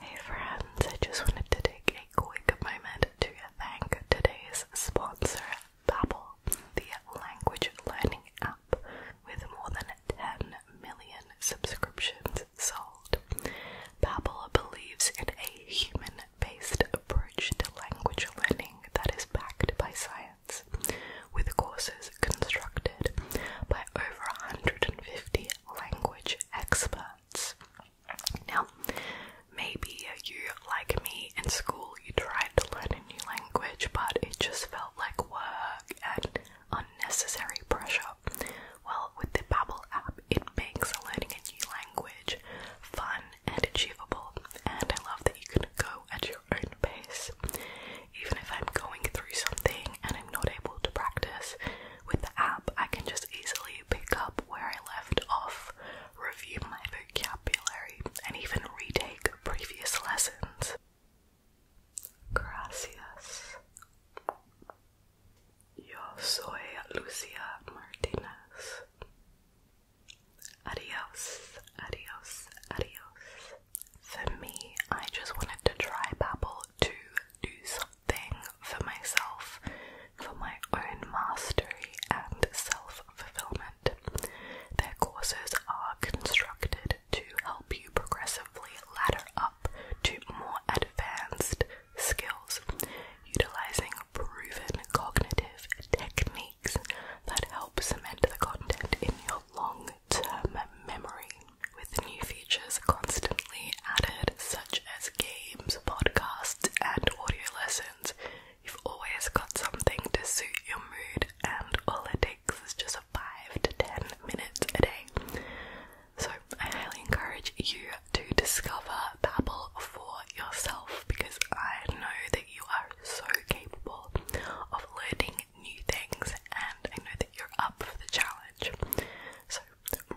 Hey friends, I just wanted to take a quick moment to thank today's sponsor, Babbel, the language learning app with more than 10 million subscriptions sold. Babbel believes in a human-based approach to language learning that is backed by science, with courses constructed by over 150 language experts. Now, maybe you, like me, in school you tried to learn a new language, but it just felt like work and unnecessary pressure. Well, with the Babbel app, it makes learning a new language fun and achievable, and I love that you can go at your own pace. Even if I'm going through something and I'm not able to practice, with the app, I can just easily pick up where I left off, review my vocabulary, and even retake previous lessons. Gracias. Yo soy Lucia Martinez. Adios, adios, adios. For me, I just wanted to try Babbel to do something thing for myself, for my own mastery and self fulfillment. Their courses are constructed to help you progressively ladder up to more advanced skills, utilizing proven cognitive techniques that help cement the content in your long term um, memory with new features constantly added, such as games, podcasts, and audio lessons. You've always got something to suit your mood, and all it takes is just a 5 to 10 minutes a day. So, I highly encourage you to discover Babbel for yourself because I know that you are so capable of learning new things, and I know that you're up for the challenge. So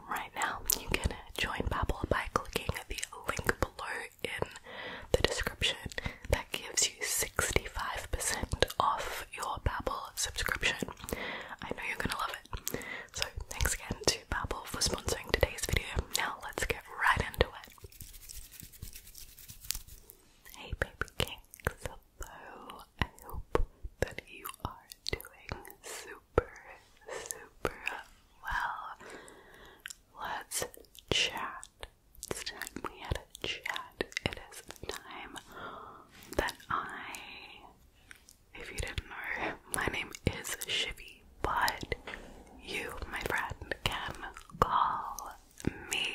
right now you can join Babbel by clicking the link below in the description that gives you 65% off your Babbel subscription. I know you're gonna love it. So thanks again to Babbel for sponsoring today's video. Now let's get right into it. Hey baby cakes, Hello, I hope that you are doing super, super well. Let's chat. It's time we had a chat. It is time that I, if you didn't know, my name is Shivy, but you, my friend, can call me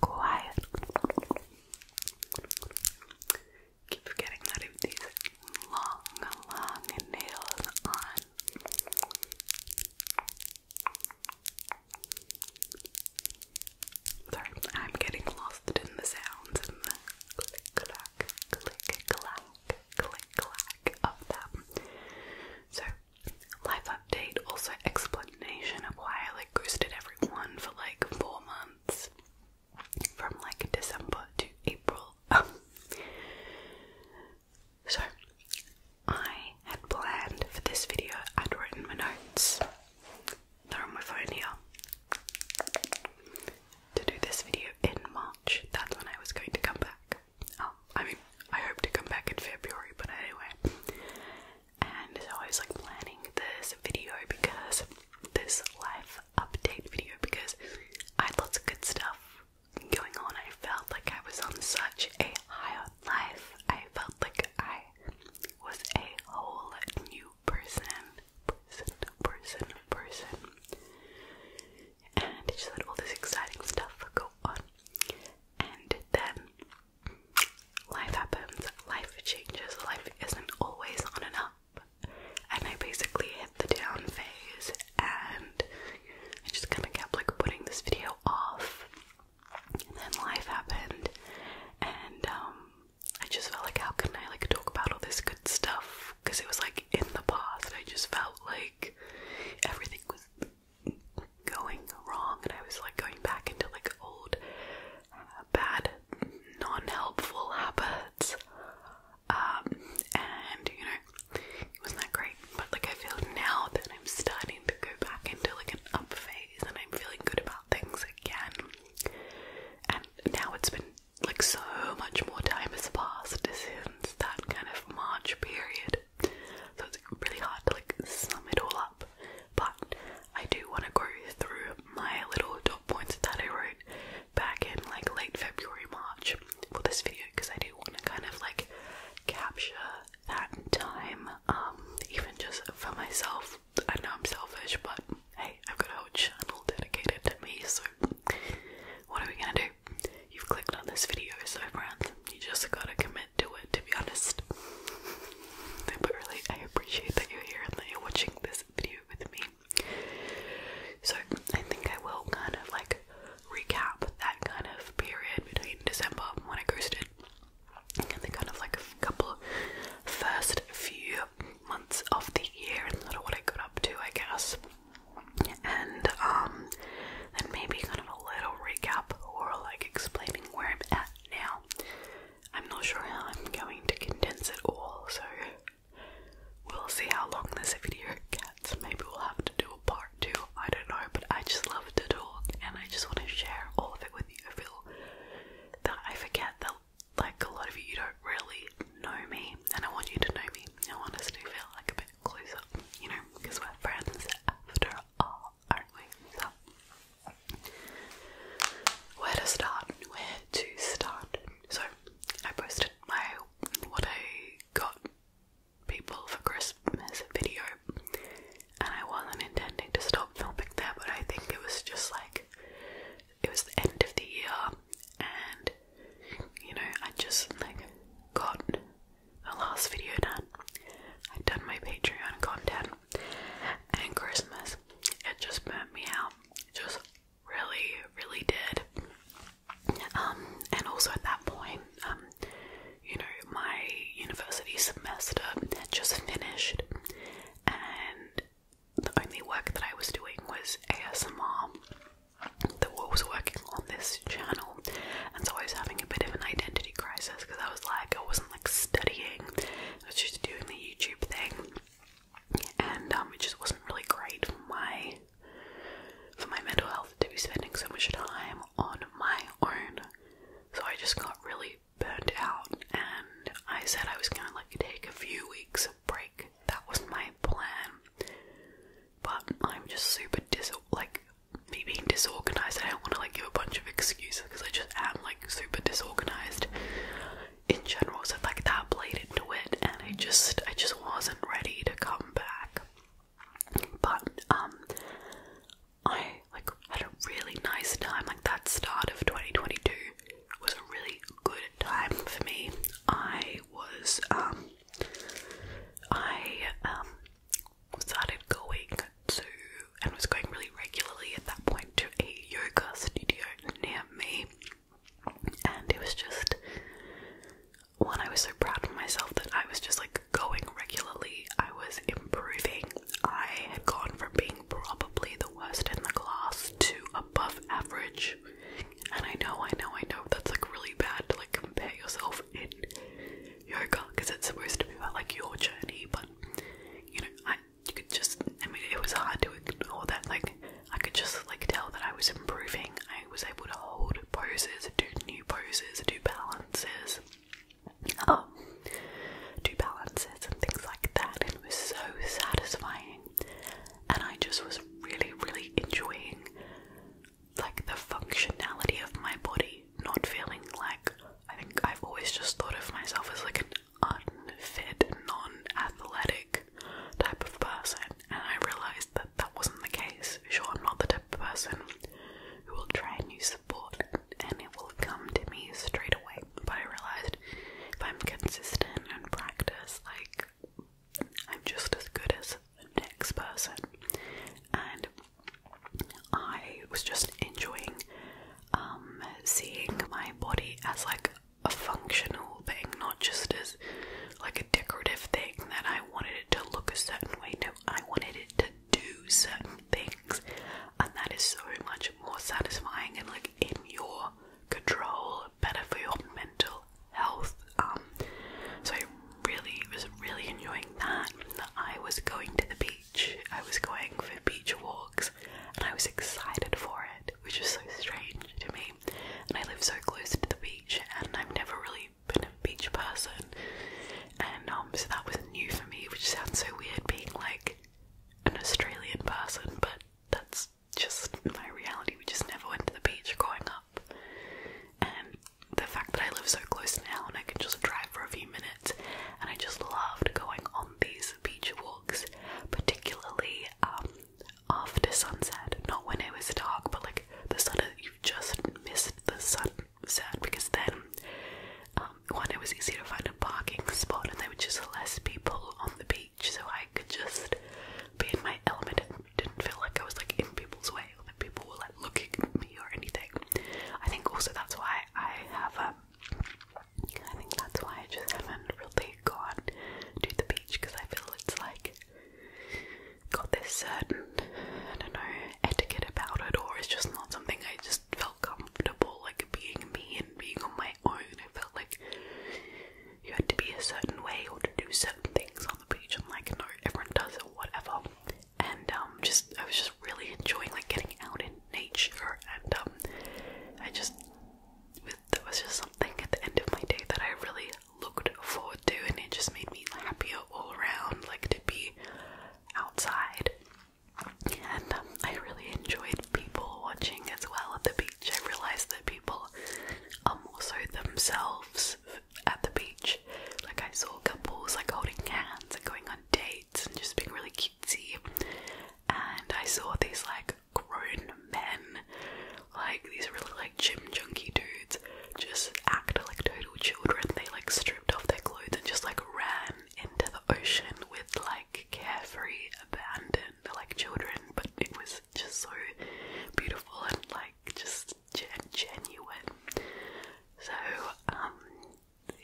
Quiet. Keep forgetting that I have these long, long nails on. Sorry, I'm getting lost in the sounds and the click clack, click clack, click clack of them. So, life update, also explanation of why I like ghosted everyone for like four months from like December to April. Um, so, I had planned for this video, I'd written my notes, they're on my phone here, to do this video in March. That's when I was going to come back. Oh, I mean, I hope to come back in February, but anyway and I was like planning this video because this life update video because I had lots of good stuff going on. I felt like I was on such a high life. I felt like I was a whole new person, person, person, person. And it just had all this exciting stuff go on. And then life happens, life changes, life isn't always on and up. And I basically hit the down phase, and I just kind of kept like putting this video off. And then life happened, and um, I just felt like, how can I like talk about all this good stuff? Because it was like in the past, I just felt like everything was going wrong, and I was like going back into like old bad, non-helpful habits. Um, and you know, it wasn't that great. But like I feel now that I'm starting to go back into like an up phase and I'm feeling good about things again. And now it's been like so much more time has passed since that kind of March period. So it's really hard to like sum it all up but I do want to go through my little top points that I wrote back in like late February, March for this video because I do want to kind of like capture that time, um, even just for myself. I know I'm selfish, but hey, I've got a whole channel dedicated to me, so what are we gonna do? You've clicked on this video, so friends, you just gotta commit to it, to be honest. But really, I appreciate that you're here and that you're watching this video with me. So, I think I will kind of like recap that kind of period between December when I ghosted and the kind of like a couple first few months of the year and sort of what I got up to, I guess. And um, then maybe kind of a little recap or like explaining where I'm at now I'm not sure how I'm going to condense it all, so we'll see how long this video gets. Maybe we'll have to do a part two, I don't know, but I just love to talk and I just want to share all of it with you. I feel that I forget that, like, a lot of you don't really know me, and I want you to know me. I want us to feel like a bit closer, you know, because we're friends after all aren't we? So, where to start? Where to start? So, I posted my what I got people for Christmas video, and I wasn't intending to stop filming there, but I think it was just like it was the end of the year, and you know, I just like got the last video done. I'd done my Patreon content and Christmas. It just burnt me out. just really, really did. Um, and also at that point, um, you know, my university semester had just finished, and the only work that I was doing was ASMR that was working on this channel, and so I was having a bit of an identity crisis because I was like, I wasn't like studying I was just doing the YouTube thing, and um, it just wasn't really great for my for my mental health to be spending so much time on my own. So I just got really burnt out, and I said I was gonna like take a few weeks of break. That was my plan, but I'm just super dis like me being disorganized. I don't want to like give a bunch of excuses because I just am like super disorganized in general, so like that played into it, and I just I just wasn't ready to come back. But um, I like had a really nice time. Like that start of 2022 was a really good time for me. I was um, I um started going to and was going really regularly at that point to a yoga studio near me. And it was just one, I was so proud of myself that I was just like going regularly, I was improving. I had gone from being probably the worst in the class to above average. And I know, I know, I know that's like really bad to like compare yourself in yoga because it's supposed to be about like your journey, but you know, I you could just I mean it was hard to ignore that like I could just like tell that I was improving. I was able to hold poses, do new poses, do balances. Um, do balances and things like that. It was so satisfying, and I just was really, really enjoying like the functionality of my body, not feeling like I think I've always just thought of myself as like an unfit, non-athletic type of person, and I realized that that wasn't the case. Sure, I'm not the type of person who will try and use support, and it will come to me straight away. But I realized if I'm consistent and practice, like I'm just as good as the next person, and I was just enjoying um, seeing my body as like a functional thing, not just as like a decorative thing that I wanted it to look a certain way. No, I wanted it to do certain things, and that is so much more satisfying and like in your control, better for your mental health. Um, so I really was really enjoying that. that. I was going to the beach. I was going for beach walks and I was excited for it, which is so strange to me. And I live so close to the beach and I've never really been a beach person. And um so that was new for me, which sounds so weird being like an Australian person, but that's just my reality. We just never went to the beach growing up. And the fact that I live so close now and I can just drive for a few minutes and I just loved going on these beach walks, particularly um, after sunset. Not when it was dark, but like the sun, you've just missed the sunset because then, um, one, it was easier to find a parking spot and there were just less people on the beach, so I could just be in my element and didn't feel like I was like in people's way or that people were like looking at me or anything. I think also that's why I have um, I think that's why I just haven't really gone to the beach because I feel it's like got this certain, I don't know, etiquette about it, or it's just not something I just felt comfortable like being me and being on my own. I felt like you had to be a certain way or to do certain things on the beach. I'm like, no, everyone does it, whatever. And um, just I was just really enjoying like getting out in nature and um I just with, there was just something at the end of my day that I really looked forward to and it just made me happier all around like to be outside and um, I really enjoyed people watching as well at the beach. I realized that people are um, also themselves at the beach. Like I saw couples like holding hands and going on dates and just being really cute and I saw these like grown men, like these really like gym junkie dudes, just act like total children. They like stripped off their clothes and just like ran into the ocean with like carefree abandon, like children. But it was just so beautiful and like just genuine. So um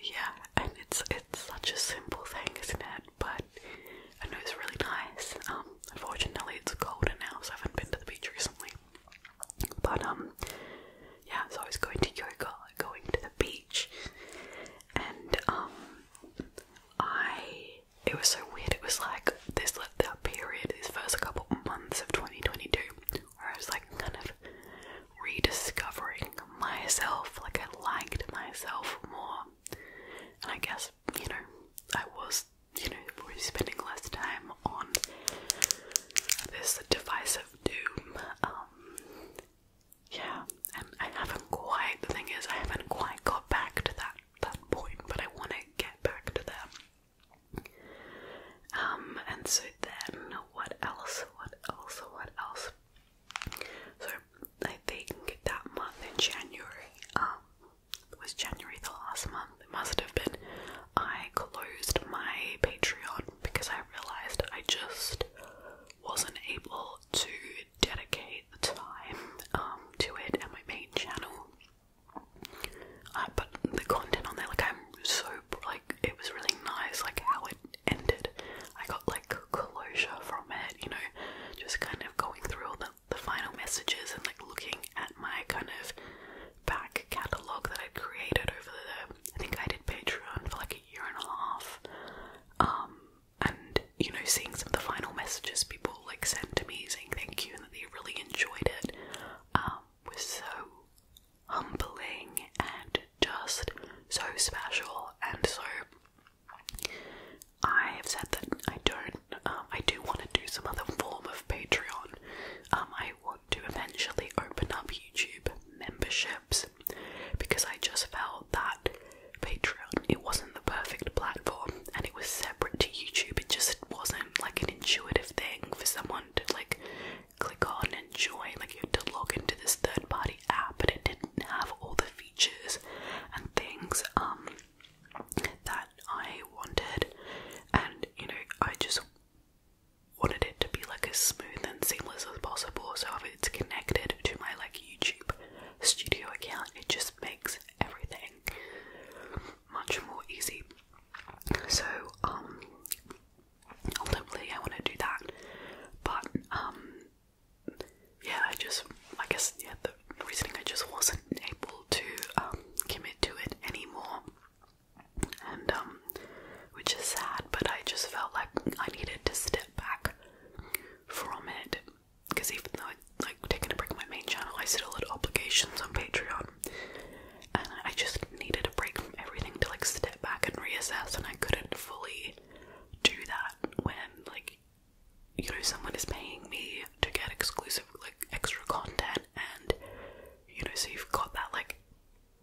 yeah, and it's it's such a simple thing, isn't it? But I know it's really nice. Um, unfortunately, it's colder now, so I haven't been to the beach recently. But um, yeah, so I was going to yoga, going to the beach, and um, I it was so weird. It was like this like that period, these first couple months of 2022, where I was like kind of rediscovering myself, like I liked myself more. And I guess, you know, I was, you know, probably spending less time on this device of doom. Um, yeah, and I haven't quite, the thing is, I haven't quite got back to that, that point, but I want to get back to them. Um, and so then, what else, what else, what else? So I think that month in January, um, was January the last month? It must have been. I closed my Patreon because I realized I just wasn't able to dedicate the time um, to it and my main channel. Uh, but the content on there, like I'm so it was really nice, like how it ended. I got like closure from it, you know, just kind of going through all the, the final messages and like looking at my kind of back catalogue that i created over the I think I did Patreon for like a year and a half. Um, and you know, seeing some of the final messages people like sent to me saying thank you and that they really enjoyed it um, was so humbling and just so special. And so I have said that I don't, um, I do want to do some other form of Patreon. Um, I want to eventually open up YouTube memberships because I just felt that Patreon it wasn't the perfect platform and it was separate to YouTube. It just wasn't like an intuitive thing for someone to like click on and join. Like you had to log into this third party app, but it didn't have all the features and things um, that I wanted. And you know, I just wanted it to be like as smooth and seamless as possible. So if it's connected to my like YouTube studio account, it just makes everything much more easy. So um, ultimately I want to do that. But um, yeah, I just I guess yeah the reasoning I just wasn't able to um, commit to it anymore, and um, which is sad. But I just felt like I needed to step back from it because even though I like taking a break on my main channel, I still had obligations on Patreon, and I just needed a break from everything to like step back and reassess and I couldn't fully do that when like you know someone is paying me to get exclusive like extra content and you know so you've got that like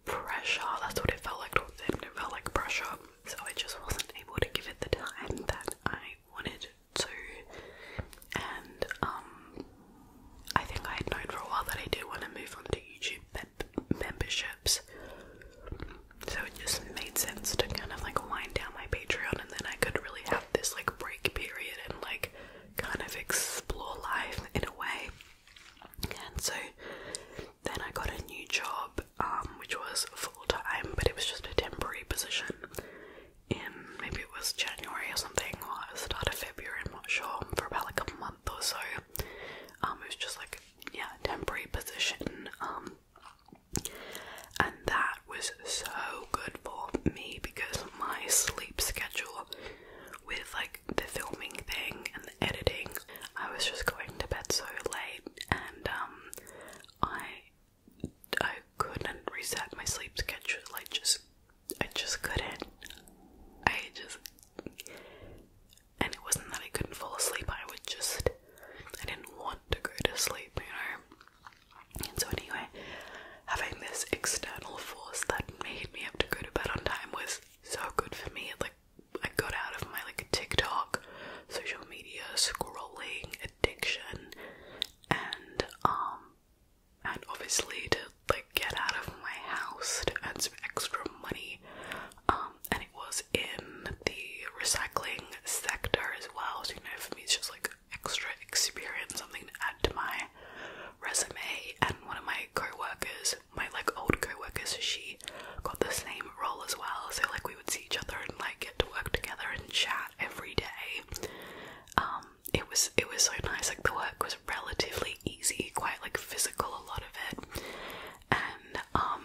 pressure that's what it felt like towards them it felt like pressure so I just wasn't able to give it the time that I wanted to and um I think I had known for a while that I did want to move on to YouTube, memberships. So it just made sense to kind of like wind down my Patreon and then I could really have this like break period and like kind of explore life in a way. And so then I got a new job, um, which was full time, but it was just a temporary position in maybe it was January or something, or start of February, I'm not sure, for about like a month or so. Um, it was just like yeah, temporary position. Um, and that was so good for me because my sleep schedule with like the filming thing and the editing, I was just going to bed so late and um I I couldn't reset my sleep schedule. I just I just couldn't. I just and it wasn't that I couldn't fall asleep, I would just I didn't want to go to sleep, you know. And so anyway, having this external force that made me have to go to bed on time was so good for me. like I got out of my like TikTok, social media scrolling addiction, and um, and obviously to like get out of my house to add some extra money, um, and it was in the recycling sector as well. So you know, for me, it's just like extra experience, something to add to my resume. And one of my coworkers, my like old co she got the same role as well. So like we would see each other and like get to work together and chat every day. Um, it was it was so nice. Like the work was relatively easy, quite like physical musical a lot of it and um,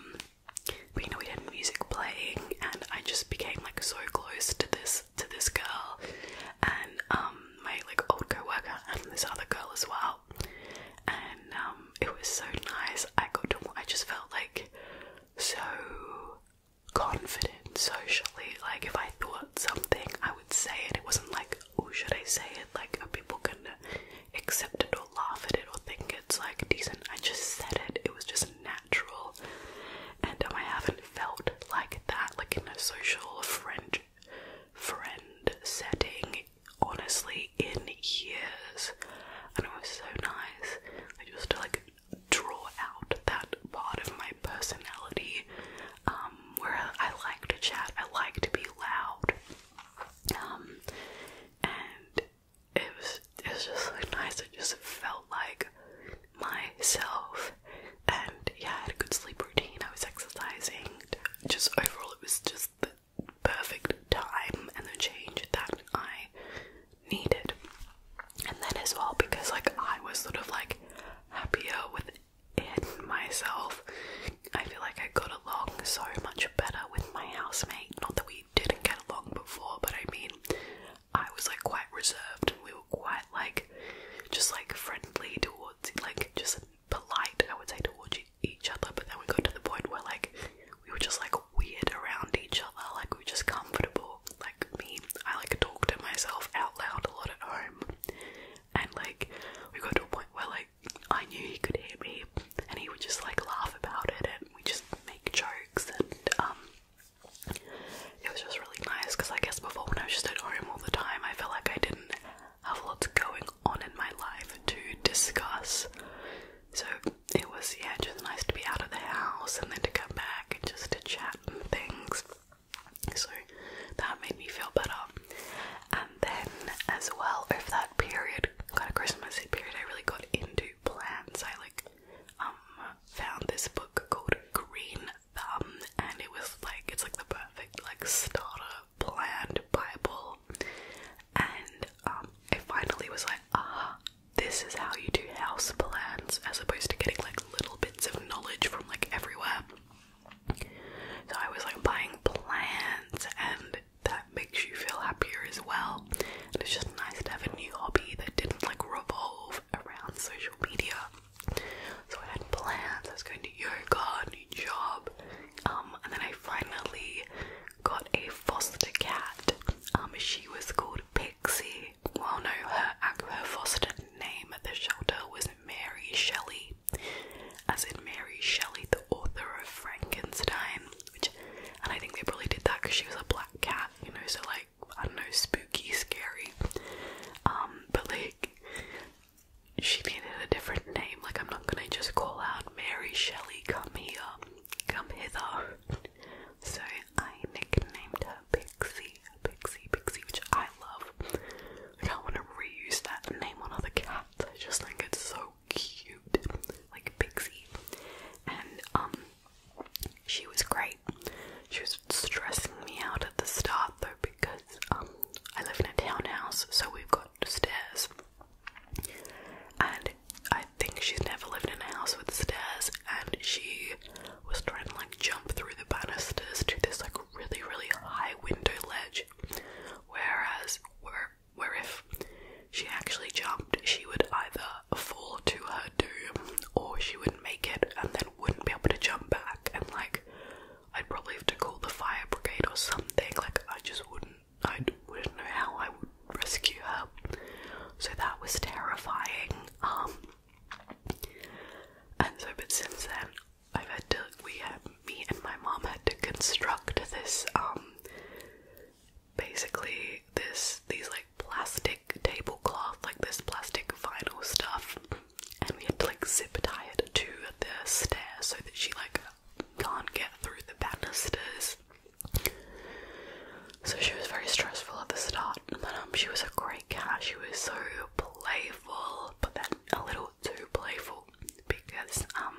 you know we had music playing and I just became like so close to this to this girl and um my like old coworker and this other girl as well and um, it was so nice I got to I just felt like so confident socially like if I thought something I would say it it wasn't like or oh, should I say it like people gonna accept it or laugh at it or think it's like decent? I just said it, it was just natural, and um, I haven't felt like that, like in a social friend friend setting, honestly, in years. And it was so nice, like just to like draw out that part of my personality um, where I like to chat, I like to be loud, um, and it was it was just like nice. It just felt like myself, and yeah, I had a good sleep routine. I was exercising. Just overall, it was just the perfect time and the change that I needed. And then as well, because like I was sort of like happier with in myself. I feel like I got along so much better with my housemate. Not that we didn't get along before, but I mean, I was like quite reserved and we were quite like just like friendly towards like just polite, I would say, towards each other. But then we got to the point where like we were just like weird around each other, like we are just comfortable. Like me, I like talk to myself out loud a lot at home, and like we got to a point where like. I knew he could hear me, and he would just like laugh about it, and we just make jokes, and um, it was just really nice because I guess before when I was just at home all the time, I felt like I didn't have lots going on in my life to discuss. So it was yeah, just nice to be out of the house and then to come back and just to chat and things. So that made me feel better and then as well if that period, kind of Christmassy period, I really got into plants. I like um found this book called Green Thumb, and it was like it's like the perfect like starter plant bible. And um, I finally was like, ah, this is how you do house plants, as opposed to getting like little bits of knowledge from like everywhere. So I was like buying plants, and that makes you feel happier as well. And it's just nice to have a new hobby that didn't like revolve around social media. So I had plans, I was going to yoga, new job, um, and then I finally got a foster cat. Um, she was called Pixie. Well, no, her, her foster name at the shelter was Mary Shelley as in Mary Shelley, the author of Frankenstein, which, and I think they probably did that because she was a black cat, you know, so like, I don't know, spooky, scary, um, but like, she needed a different name, like I'm not gonna just call out Mary Shelley, come here, come hither, so I nicknamed her Pixie, Pixie, Pixie, which I love, I don't want to reuse that name on other cats I just think it's so cute, like Pixie. And um, she was great. She was stressing me out at the start though because um, I live in a townhouse, so we've got stairs. And I think she's never lived in a house with stairs, and she was trying to like jump through the banisters to this like really really high window ledge Whereas, where, where if she actually jumped, she would either fall to her doom or she would make it and then wouldn't be able to jump back. And like, I'd probably have to call the fire brigade or something. Like, I just wouldn't, I wouldn't know how I would rescue her. So that was terrifying. Um, and so, but since then, i had to we had me and my mom had to construct this um, basically this these like plastic tablecloth like this plastic vinyl stuff and we had to like zip tie it to the stairs so that she like can't get through the banisters. So she was very stressful at the start, but um, she was a great cat. She was so playful, but then a little too playful because um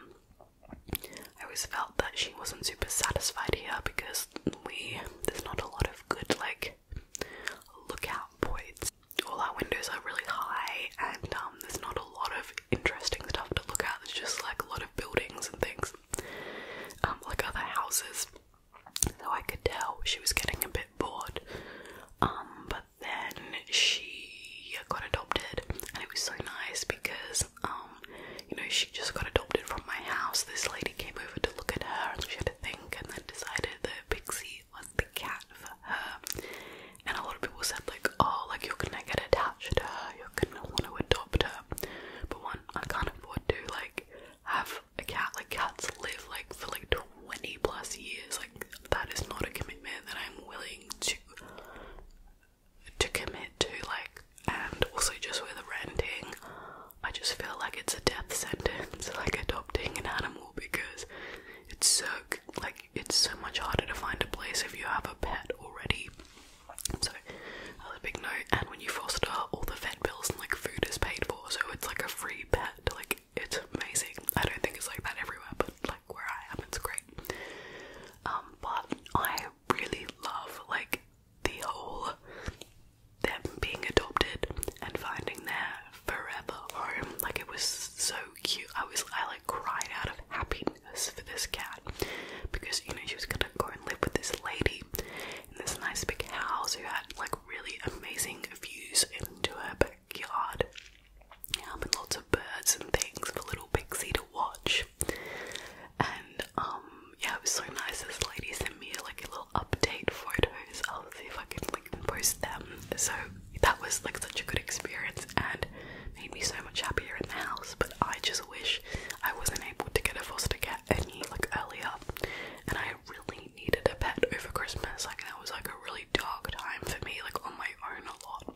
I always felt that she wasn't super satisfied here because we there's not a lot of good like lookout points. All our windows are really high and um there's not a lot of interesting stuff to look at. There's just like a lot of buildings and things. Um like other houses. So I could tell she was getting a bit bored. Um but then she got adopted, and it was so nice because, um, you know, she just got adopted from my house. This lady came over to look at her, and she had to think, and then decided that Pixie was the cat for her. And a lot of people said, like, oh, like you're gonna get attached to her, you're gonna want to adopt her. But one, I can't afford to, like, have a cat. Like, cats live, like, for like 20 20 plus years. Like that is not a commitment that I'm willing to to commit to. Like, and also just with the renting, I just feel like it's a death sentence. Like adopting an animal because it's so like it's so much harder to find a place if you have a pet already. So that a big note. And when you foster, all the vet bills and like food is paid for, so it's like a free pet. Like it's amazing. I don't think it's like that everywhere, but like where I am, it's great. Um, but I really love like the whole them being adopted and finding their forever home. Like it was so cute. I was I like cried out of happiness for this cat because you know she was gonna go and live with this lady in this nice big house who had like really amazing views into her Yard. Um, and lots of birds and things for little Pixie to watch. And um, yeah, it was so nice. This lady sent me like a little update photos. I'll see if I can like post them. So that was like such a good experience and made me so much happier in the house. But I just wish I wasn't able to get a foster cat any like earlier. And I really needed a pet over Christmas. Like that was like a really dark time for me. Like on my my own a lot.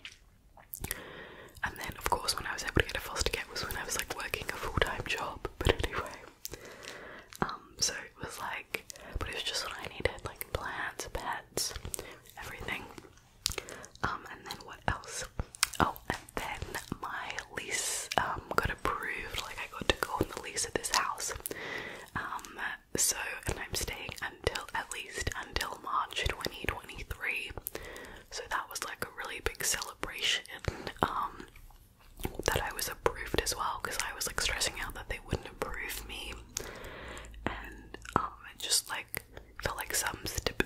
And then, of course, when I was able to get a foster care was when I was like working a full time job. But anyway, um, so it was like, but it was just what I needed, like plants, pets, everything. Um, and then what else? Oh, and then my lease um got approved. Like I got to go on the lease of this house. Um, so and I'm staying until at least until March 2023. So that was like a really big celebration. Um that I was approved as well because I was like stressing out that they wouldn't approve me and um just like felt like some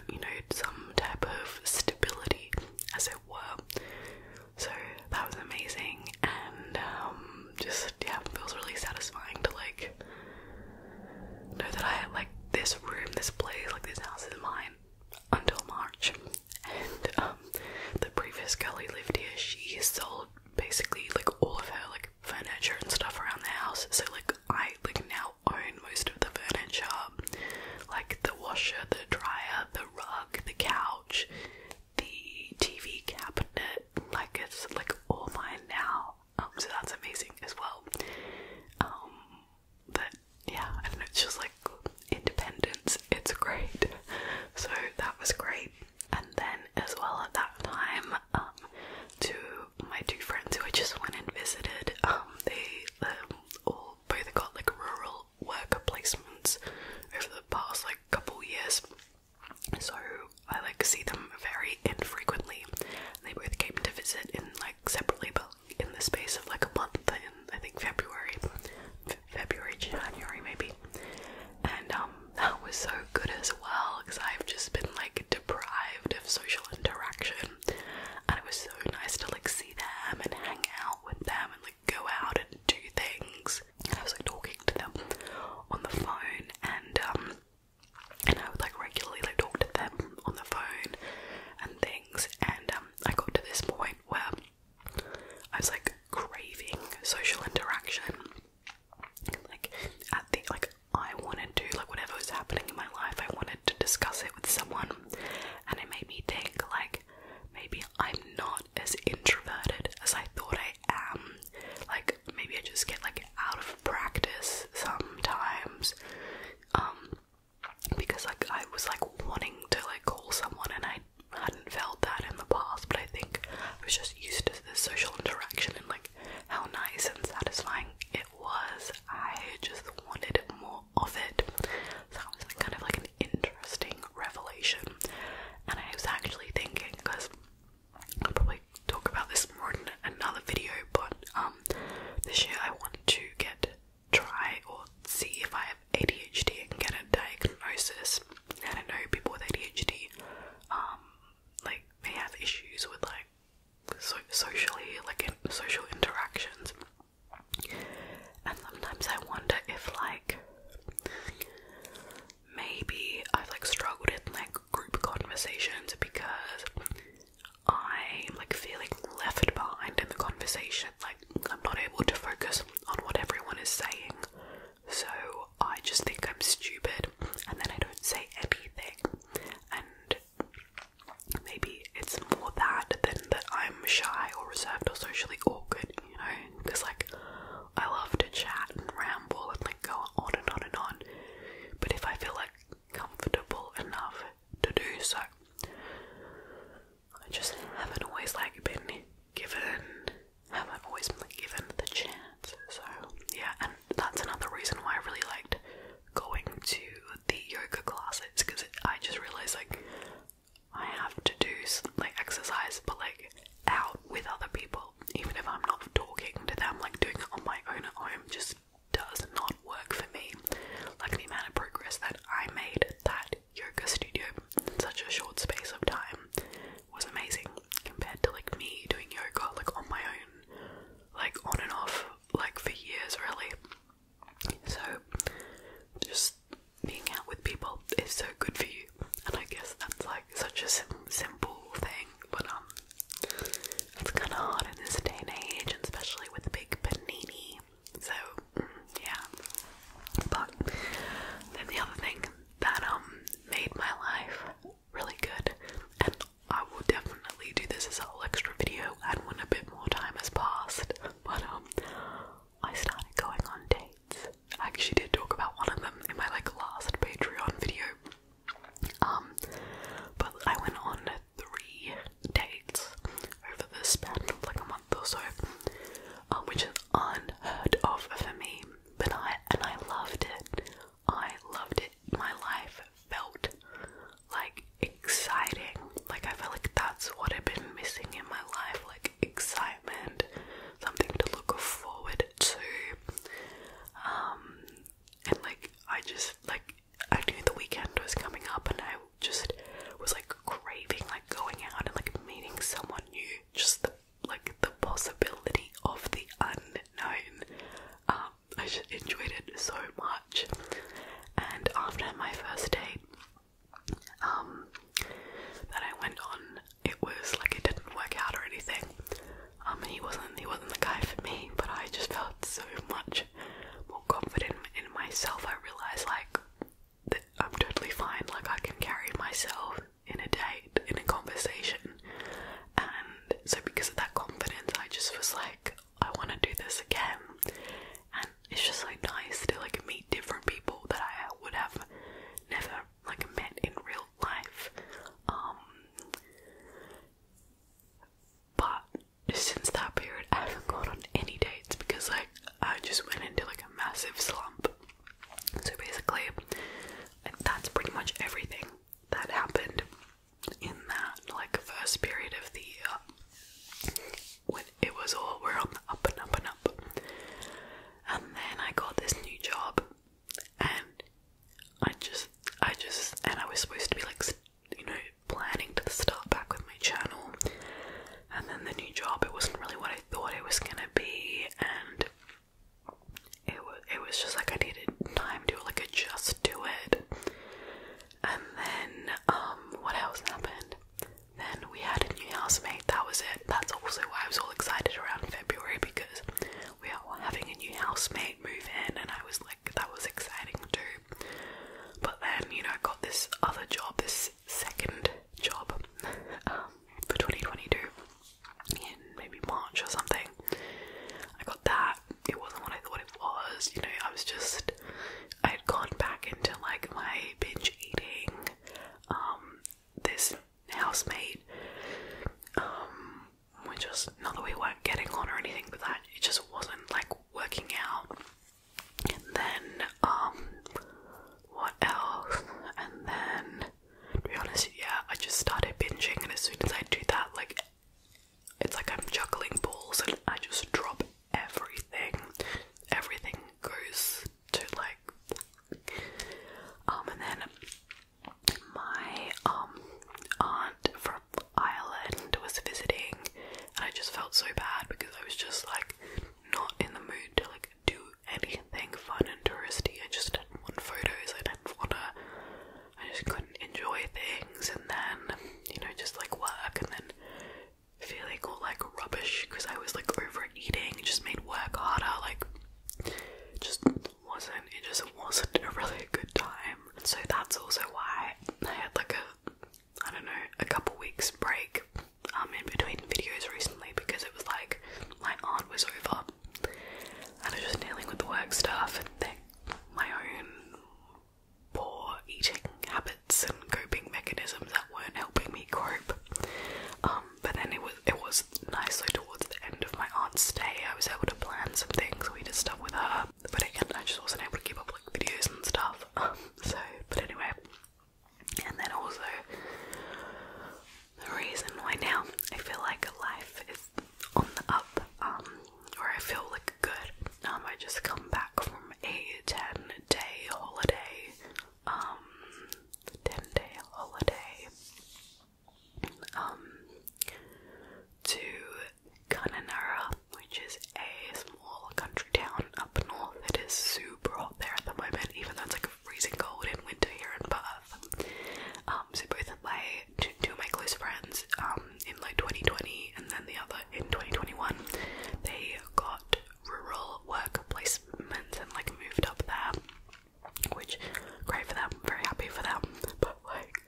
you know some type of stability as it were so that was amazing and um, just yeah, feels really satisfying to like know that I like this room, this place, like this house is mine until March. And um, the previous girl who lived here, she sold basically like all of her like furniture and stuff around the house. So like I like now own most of the furniture, like the washer, the dryer, the rug, the couch, the TV cabinet. Like it's like all mine now. Um, so that's amazing as well. Um, but yeah, it's just like independence, it's great. So that was great. And then, as well, at that time, um, to my two friends who I just went and visited, they all both got like rural worker placements over the past like couple years so I like see them very infrequently. They both came to visit in like separately, but in the space of like a month in I think February, February, January maybe. And um, that was so good as well because I've just been like deprived of social interaction, and it was so nice to like see them and hang out with them and like go out and do things. I was like talking to them on the phone and um and I would like regularly like talk to them on the phone and things and um I got to this point where I was like craving social interaction like at the like I wanted to like whatever was happening in my life I wanted to discuss it with someone and it made me think like maybe I'm not as introverted as I thought I am like maybe I just get like out of practice sometimes. Um because like I was like wanting to like call someone and I hadn't felt that in the past, but I think I was just used to the social interaction and like how nice and satisfying it was. I just wanted more of it. So it was kind of like an interesting revelation. And I was actually thinking because I'll probably talk about this more in another video, but um, this year I want to get try or see if I have ADHD and get a diagnosis. And I know people with ADHD, um, like they have issues with like socially, like social interactions. And sometimes I wonder if like maybe I've like struggled in like group conversations because I'm like feeling left behind in the conversation. Like I'm not able to focus on what everyone is saying. So I just think I'm stupid and then I don't say anything. And maybe it's more that than that I'm shy or reserved or socially awkward, you know? Because like I love to chat and ramble and like go on and on and on. But if I feel like comfortable enough to do so, I just haven't always like been given, haven't always been given the chance. So yeah, and that's another reason why I really liked going to the yoga classes because I just realized like I have to do like exercise, but like out with other people, even if I'm not talking to them, like doing it on my own at home just does not work for me. Like the amount of progress that I made at that yoga studio in such a short space of time was amazing compared to like me doing yoga like on my own, like on and off, like for years really. So just being out with people is so good for you and I guess that's like such a simple thing, but um, it's kind of hard in this day and age, and especially with big panini. So mm, yeah, but then the other thing that um made my life really good, and I will definitely do this as a whole extra video, and when a bit more time has passed, but um, I started going on dates. I actually did talk about one of them in my like last Patreon video. Um, but I went on three dates over the span of like a month or so, um, which is unheard of for me. But I and I loved it. I loved it. My life felt like exciting. Like I felt like that's what I've been missing in my life. Like excitement, something to look forward to. Um, and like I just like I knew the weekend was coming up, and I just was like craving like going out and like meeting someone new. Just the like the possibility of the unknown. Um, I just enjoyed it so much. And after my first date, um, that I went on, it was like it didn't work out or anything. Um, he wasn't he wasn't the guy for me, but I just felt so much more confident in myself. I realized like that I'm totally fine. Like I can carry myself in a date, in a conversation, and so because of that confidence, I just was like, I want to do this again, and it's just like nice to like meet different people that I would have never like met in real life. Um but since that period I haven't gone on any dates because like I just went into like a massive slump. So basically that's pretty much everything that happened in that like first period of the year when it was all we're on the up and up and up. And then I got this new job and I just, I just, and I was supposed to be like, you know, planning to start back with my channel, and then the new job, it wasn't really what I thought it was gonna be, and it was, it was just like I needed time to like adjust to it, and then, um, what else happened? Then we had a new housemate, that was it that's also why I was all excited around February because we are having a new housemate move in, and I was like, that was exciting too. But then, you know, I got this other job, this second job um, for 2022 in maybe March or something. I got that. It wasn't what I thought it was, you know, I was just I had gone back into like my binge eating um, this housemate, um, we just not that we weren't getting on or anything, but that it just wasn't like working out. And then, um, what else? And then, to be honest, yeah, I just started binging, and as soon as I do that, like, it's like I'm juggling balls, and I just drop everything. Everything goes to like um and then my um aunt from Ireland was visiting and I just felt so bad because I was just like not in the mood to like do anything fun and touristy. I just didn't want photos, I didn't wanna I just couldn't enjoy things and then, you know, just like work and then feeling all like rubbish because I was like overeating, it just made work harder, like just wasn't it just wasn't a really good time. So that's also why I had like a I don't know, a couple weeks break um in between videos recently because it was like my aunt was over and I was just dealing with the work stuff and then my own poor eating habits and coping mechanisms that weren't helping me cope. Um but then it was it was nicely towards the end of my aunt's day. I was able to plan some things. We did stuff with her, but again, I just wasn't able to keep up like videos and stuff. so, but anyway, and then also the reason why now I feel like life is on the up, um, or I feel like good. Um, I just come back from a ten day holiday. Um, ten day holiday um, to Kununurra, which is a small country town up north. It is super hot there at the moment, even though it's like freezing cold in winter here in Perth. Um, so both of my two, of my close friends, um, in like 2020 and then the other in 2021, they got rural work placements and like moved up there which great for them, very happy for them, but like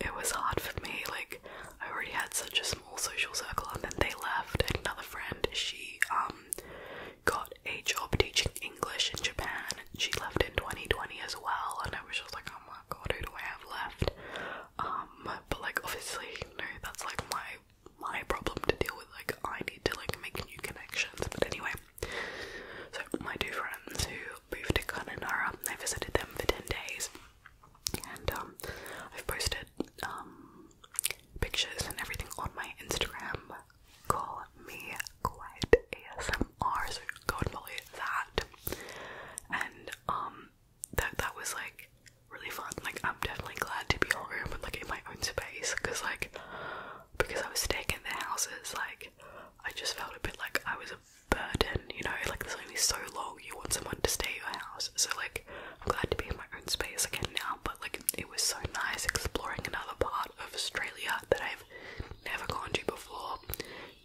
it was hard for me, like I already had such a small social circle and then they left another friend, she um got a job teaching English in Japan. She left in 2020 as well and I was just like, oh my god, who do I have left? Um but like obviously no, that's like my my problem to deal with, like I need to like make new connections. But anyway, so my two friends who moved to Kununurra, I visited them for ten days, and um, I've posted um, pictures and everything on my Instagram. Call me Quiet ASMR, so go and follow that. And um, that that was like really fun. Like I'm definitely glad to be home and like in my own space, cause like because I was staying in their houses, like I just felt a bit like I was a burden, you know, like it's only so long you want someone to stay at your house. So like I'm glad to be in my own space again now, but like it was so nice exploring another part of Australia that I've never gone to before,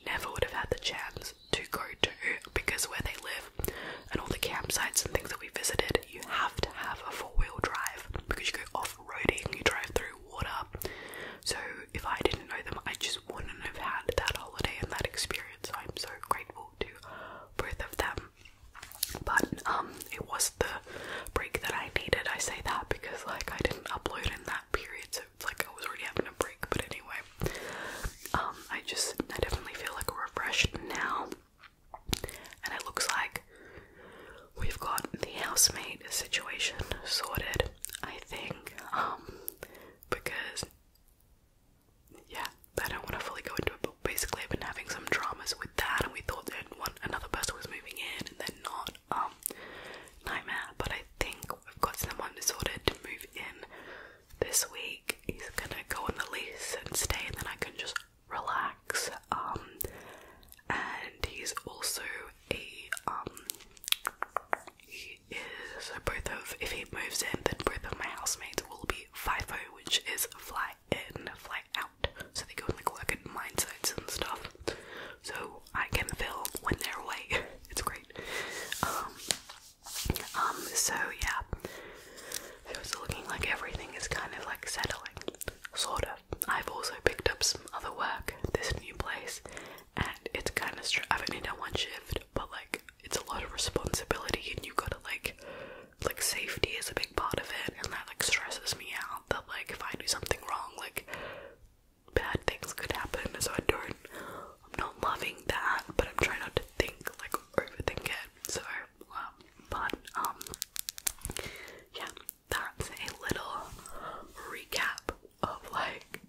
never would have had the chance to go to because where they live and all the campsites and things that we visited, you have to have a four-wheel drive because you go off off-roading, you drive through water. So if I didn't know them, I just wouldn't have had that holiday and that experience. I'm so grateful to both of them. But um, it was the break that I needed. I say that because like I didn't upload in that period, so it's like I was already having a break. But anyway, um, I just I definitely feel like refreshed now and it looks like we've got the housemate situation sorted, I think, um, because yeah, I don't want to fully go into it, but basically I've been having some dramas with that, and we thought that one another person was moving in, and then not, um, nightmare. But I think we've got someone sorted to move in this week. He's gonna go on the lease and stay, and then I can just relax. Um, and he's also a um, he is so both of if he moves in, then both of my housemates will be five FIFO, which is fly in, fly out. So they go and like work at mine sites and stuff. So I can feel when they're away. it's great. Um, um. So yeah, it was looking like everything is kind of like settling, sorta. I've also picked up some other work this new place, and it's kind of I've only done one shift, but like it's a lot of responsibility, and you gotta like like safety is a big part of it, and that like stresses me out. That like if I do something wrong, like bad things could happen. So I don't. I'm not loving that, but I'm trying not to think like overthink it. So, um, but um, yeah, that's a little recap of like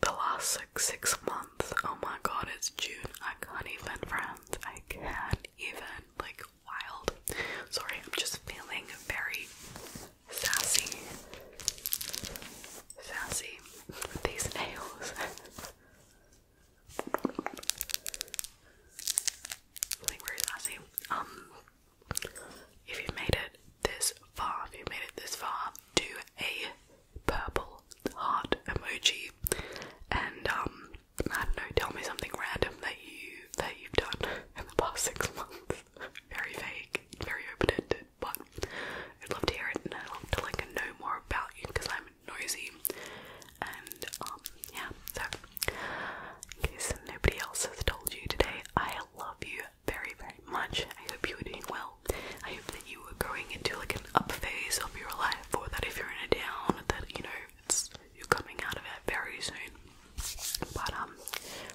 the last six months. Oh my god, it's June. I can't even, friends. I can't even. Like, wild. Sorry, I'm just feeling very sassy. Sassy with these nails. like where is Um if you've made it this far, if you've made it this far, do a purple heart emoji and um I don't know, tell me something random that you that you've done in the past six months. very vague, very open-ended, but I'd love to hear it and I'd love to like know more about you because I'm nosy and um yeah, so in case nobody else has told you today, I love you very, very much. I hope you are doing well. I hope that you are going into like an up phase of your life, or that if you're in a down, that you know it's you're coming out of it very soon. But um,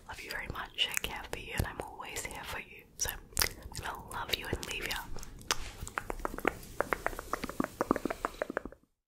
love you very much. I care for you, and I'm always here for you. So I'm love you and leave you.